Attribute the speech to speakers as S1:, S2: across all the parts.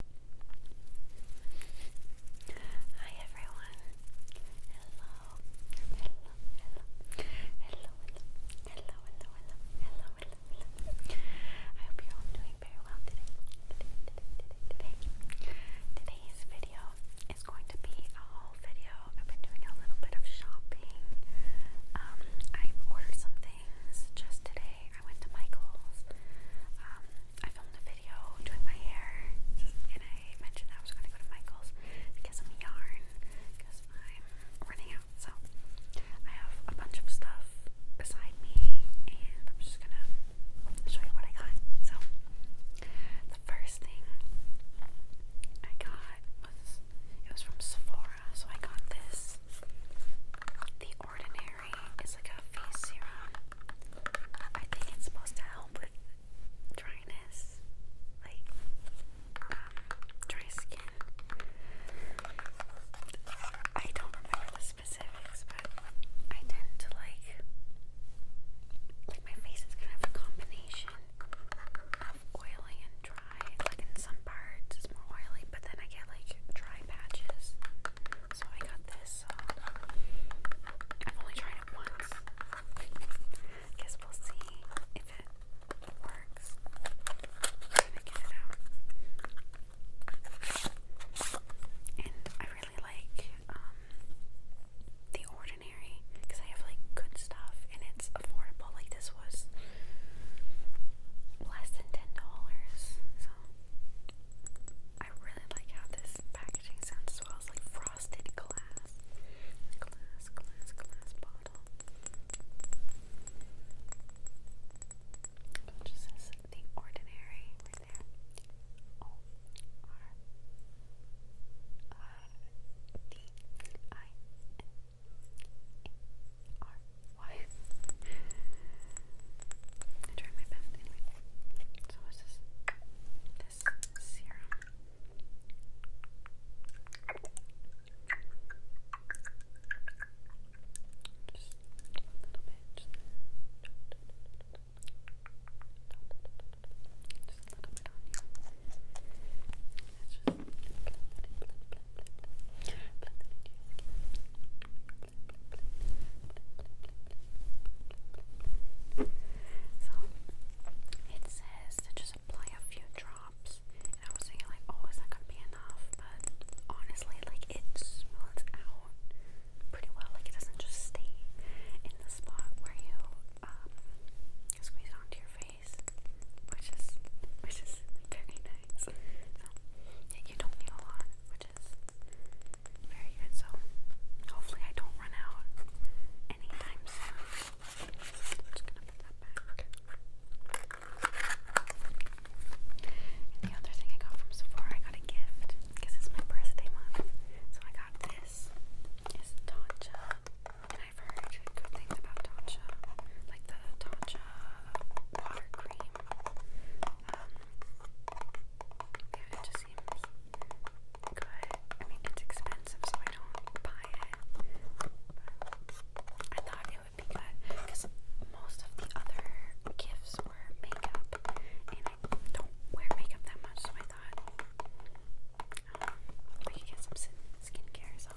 S1: Hi everyone. Hello. Hello. Hello. Hello. Hello. Hello. Hello. Hello. I hope you're all doing very well today. Today. Today. Today. Today's video is going to be a whole video. I've been doing a little bit of shopping. Um, i ordered some just today, I went to Michael's. Um, I filmed a video doing my hair, and I mentioned I was going to go to Michael's because I'm yarn, because I'm running out. So I have a bunch of stuff beside me, and I'm just gonna show you what I got. So the first thing I got was it was from Sephora. So I got this the Ordinary is like a face serum. I think it's supposed to help with dryness, like um, dry skin. I don't remember the specifics, but I tend to like like my face is kind of a combination of oily and dry. Like in some parts more oily, but then I get like dry patches. So I got this. Um, I've only tried it once. Guess we'll see if it works. I'm gonna get it out. And I really like um, the ordinary because I have like good stuff and it's affordable. Like this was less than ten dollars. So I really like how this packaging sounds as well. It's like frosted glass, glass, glass, glass bottle. It just says the ordinary right there. O R uh, D I N R Y. I tried my best anyway. So what's this? This serum. Just a little bit. Just, a little bit on you. just blend, blend, blend, so it says to just apply a few drops, and I was thinking like, oh, is that gonna be enough? But honestly, like it smooths out pretty well. Like it doesn't just stay in the spot where you um, squeeze onto your face face, which is which is very nice. So you don't need a lot, which is very good. So hopefully I don't run out anytime soon. just gonna put that back. the other thing I got from Sephora, I got a gift because it's my birthday month. So I got this. It's Tatcha. And I I've good things about Tatcha, like the Tatcha water cream. Um, it just seems good. I mean, it's expensive, so I don't buy it. I thought it would be good because most of the other gifts were makeup, and I don't wear makeup that much, so I thought um, we could get some skincare. So so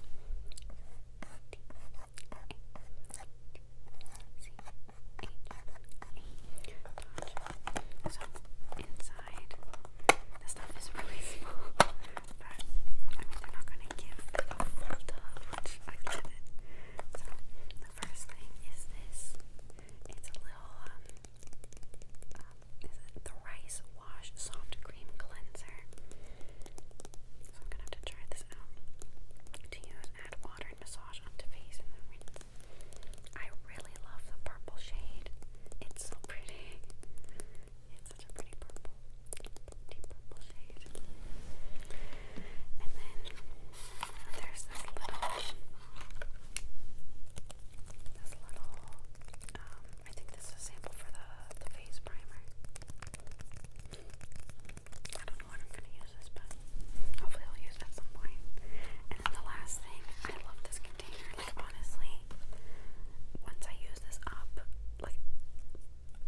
S1: inside the stuff is really small, but I mean they're not gonna give a full tub, which So the first thing is this. It's a little um is it Thrice Wash Soft Cream Cleanser. So I'm gonna have to try this out. To use, add water and massage onto face and then rinse. I really love the purple shade. It's so pretty. It's such a pretty purple, deep purple shade. And then there's this little, this little um, I think this is a sample for the, the face primer. I don't know what I'm gonna use this, but hopefully I'll use it at some point. And then the last thing, I love this container. Like honestly, once I use this up, like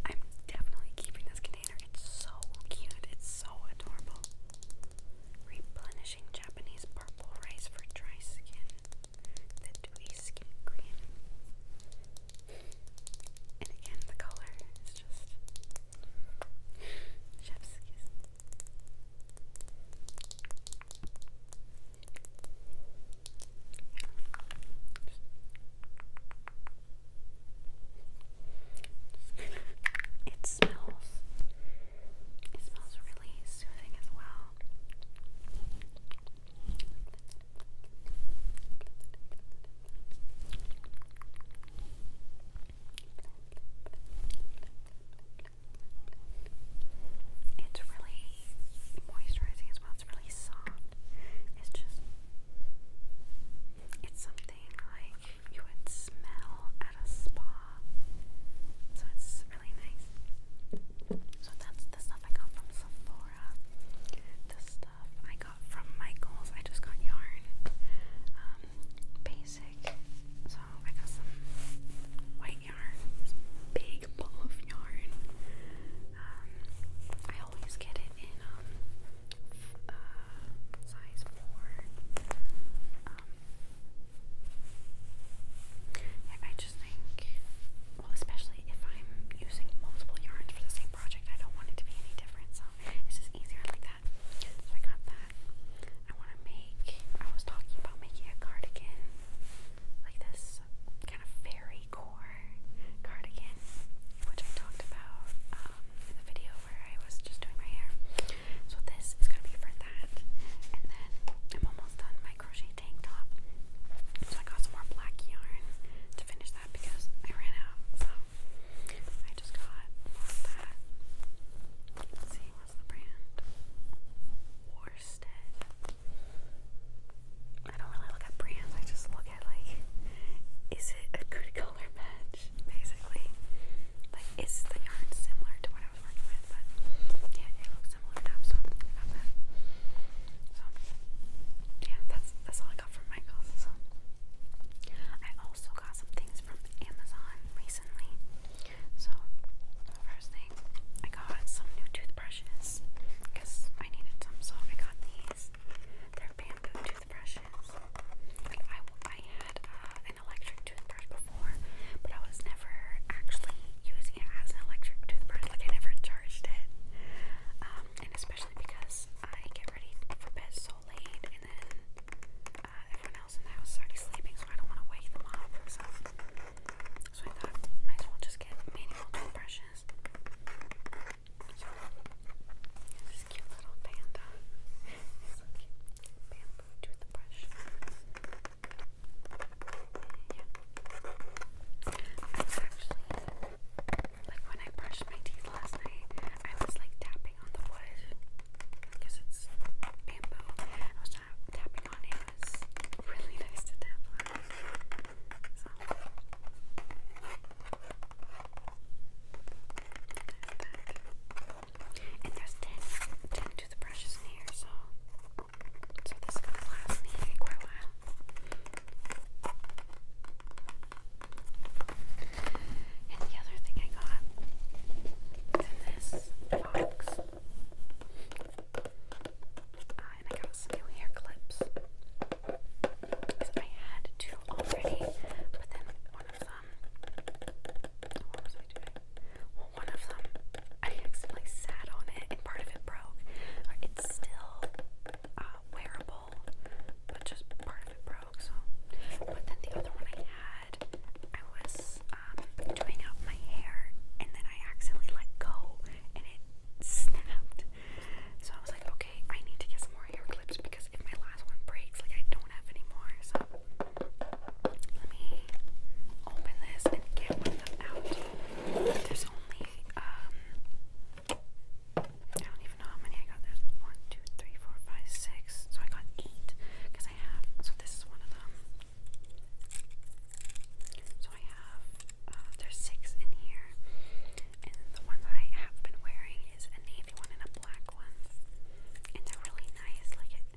S1: I'm definitely keeping this container. It's so cute. It's so adorable. Replenishing Japanese purple rice for dry skin the dewy skin cream. And again, the color is just It smells it smells really soothing as well. It's really moisturizing as well. It's really soft. It's just it's something like you would smell at a spa so it's really nice. So that's the stuff I got from Sephora. The stuff I got from Michaels. I just got yarn. Um, basic. So I got some white yarn. big ball of yarn. Um, I always get it in um uh, size four. Um, I just think, well, especially if I'm using multiple yarns for the same project, I don't want it to be any different. So it's just easier like that. So I got that. I want to make, I was talking about making a cardigan, like this kind of fairy core cardigan, which I talked about um, in the video where I was just doing my hair. So this is gonna be for that. And then I'm almost done my crochet tank top. So I got some more black yarn to finish that because I ran out. So I just got that. see what's the brand. Worsted. I don't really look at brands, I just look at like is it a good color match? Basically. Like is the yarn similar to what I I was yeah, it looks similar now, so yeah, that's that's all I got from Michaels. So I also got some things from Amazon recently. So first thing, I got some new toothbrushes because I needed some, so I got these. They're bamboo toothbrushes. I I had uh, an electric toothbrush before, but I was never actually using it as an electric toothbrush. Like I never charged it, um, and especially because I get ready for bed so late, and then uh, everyone else in the house is already sleeping, so I don't want to wake them up. So, so I thought might as well just get manual toothbrushes. So, this cute little panda. He's so cute. Bamboo to Yeah. I was actually, like when I brushed my teeth last night, I was like tapping on the wood. Because it's bamboo. I was tapping on it. It really nice to tap on. So. And there's 10, 10 to the brushes in here, so, so this is last me quite a while. And the other thing I got is in this box. Uh, and I got some new hair clips. I had two already, but then one of them well, one of them, I accidentally sat on it and part of it broke. Uh, it's still uh, wearable, but just part of it broke. So, but then the other one I had, I was um, doing up my hair, and then I accidentally let go, and it snapped. So I was like, okay, I need to get some more hair clips because if my last one breaks, like I don't have any So let me open this and get one of them out. there's only um I don't even know how many I got. There's one, two, three, four, five, six. So I got eight because I have. So this is one of them. So I have. Uh, there's six in here. And the one I have been wearing is a navy one and a black one. And they're really nice. Like it,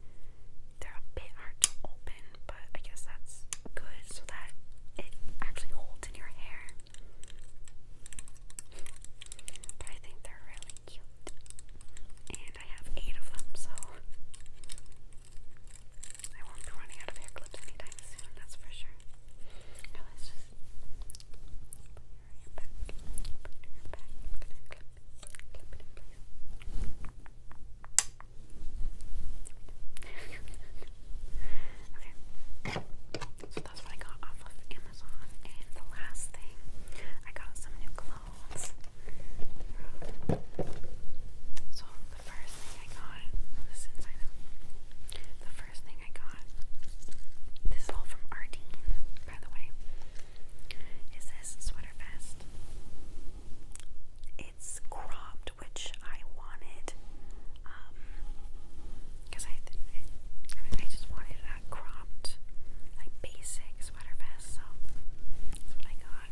S1: they're a bit hard to open, but I guess that's good so that it actually holds in your hair. I think they're really cute. And I have eight of them, so I won't be running out of hair clips anytime soon, that's for sure. Now your back. So that's what I got off of Amazon. And the last thing, I got some new clothes. So the first thing I got, this is inside out. The first thing I got. This is all from Ardeen, by the way. Is this sweater vest? It's cropped, which I wanted. Um, because I, I, just wanted a cropped, like basic sweater vest. So that's what I got.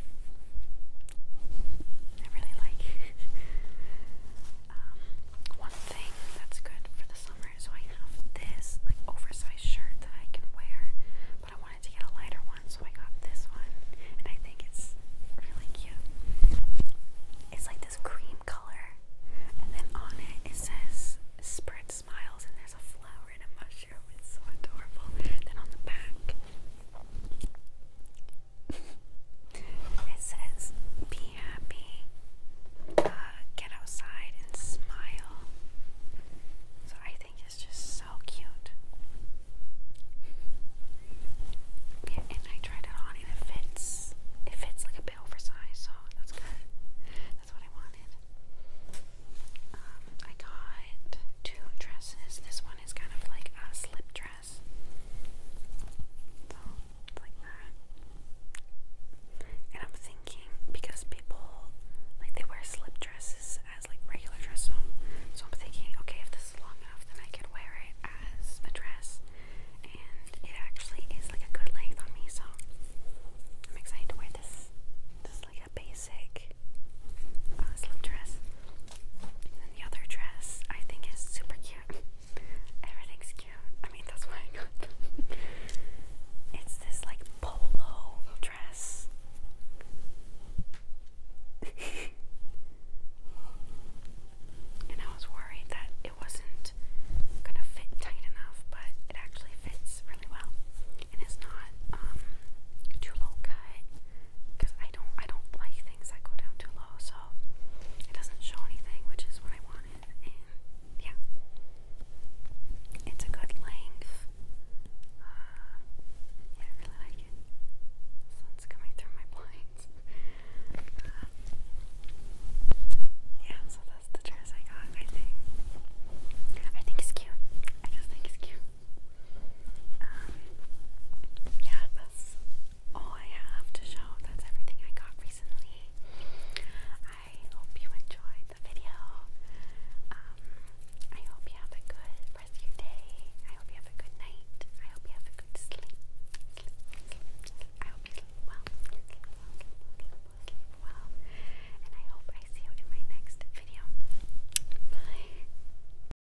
S1: I really like one thing that's good for the summer. So I have this like oversized shirt that I can wear, but I wanted to get a lighter one, so I got this one, and I think it's really cute. It's like this cream color, and then on it it says "Spread Smiles," and there's a flower and a mushroom. It's so adorable. Then on the back it says, Be happy, uh, get outside, and smile. So I think it's just so cute. Yeah, and I tried it on, and it fits. It fits like a bit oversized, so that's good. That's what I wanted. Um, I got two dresses. This one is kind of like a slip dress. And I'm thinking because people like they wear slip dresses as like regular dresses, so, I'm thinking, okay, if this is long enough, then I could wear it as a dress, and it actually is like a good length on me. So I'm excited to wear this. This is like a basic uh, slip dress. And the other dress I think is super cute. Everything's cute. I mean, that's why I got them. it's this like polo dress. and I was worried that it wasn't gonna fit tight enough, but it actually fits really well. And it's not um, too low cut because I don't I don't like things that go down too low, so it doesn't show anything, which is what I wanted. And yeah, it's a good length. Uh, yeah, I really like it. Sun's coming through my blinds. Uh, yeah, so that's the dress I got. I think I think it's cute. I just think it's cute. Um, yeah, that's all I have to show. That's everything I got recently. I hope you enjoyed the video. Um, I hope you have a good rest of I hope you have a good night. I hope you have a good sleep. I hope you sleep well. Sleep well, sleep well, sleep well. And I hope I see you in my next video. Bye.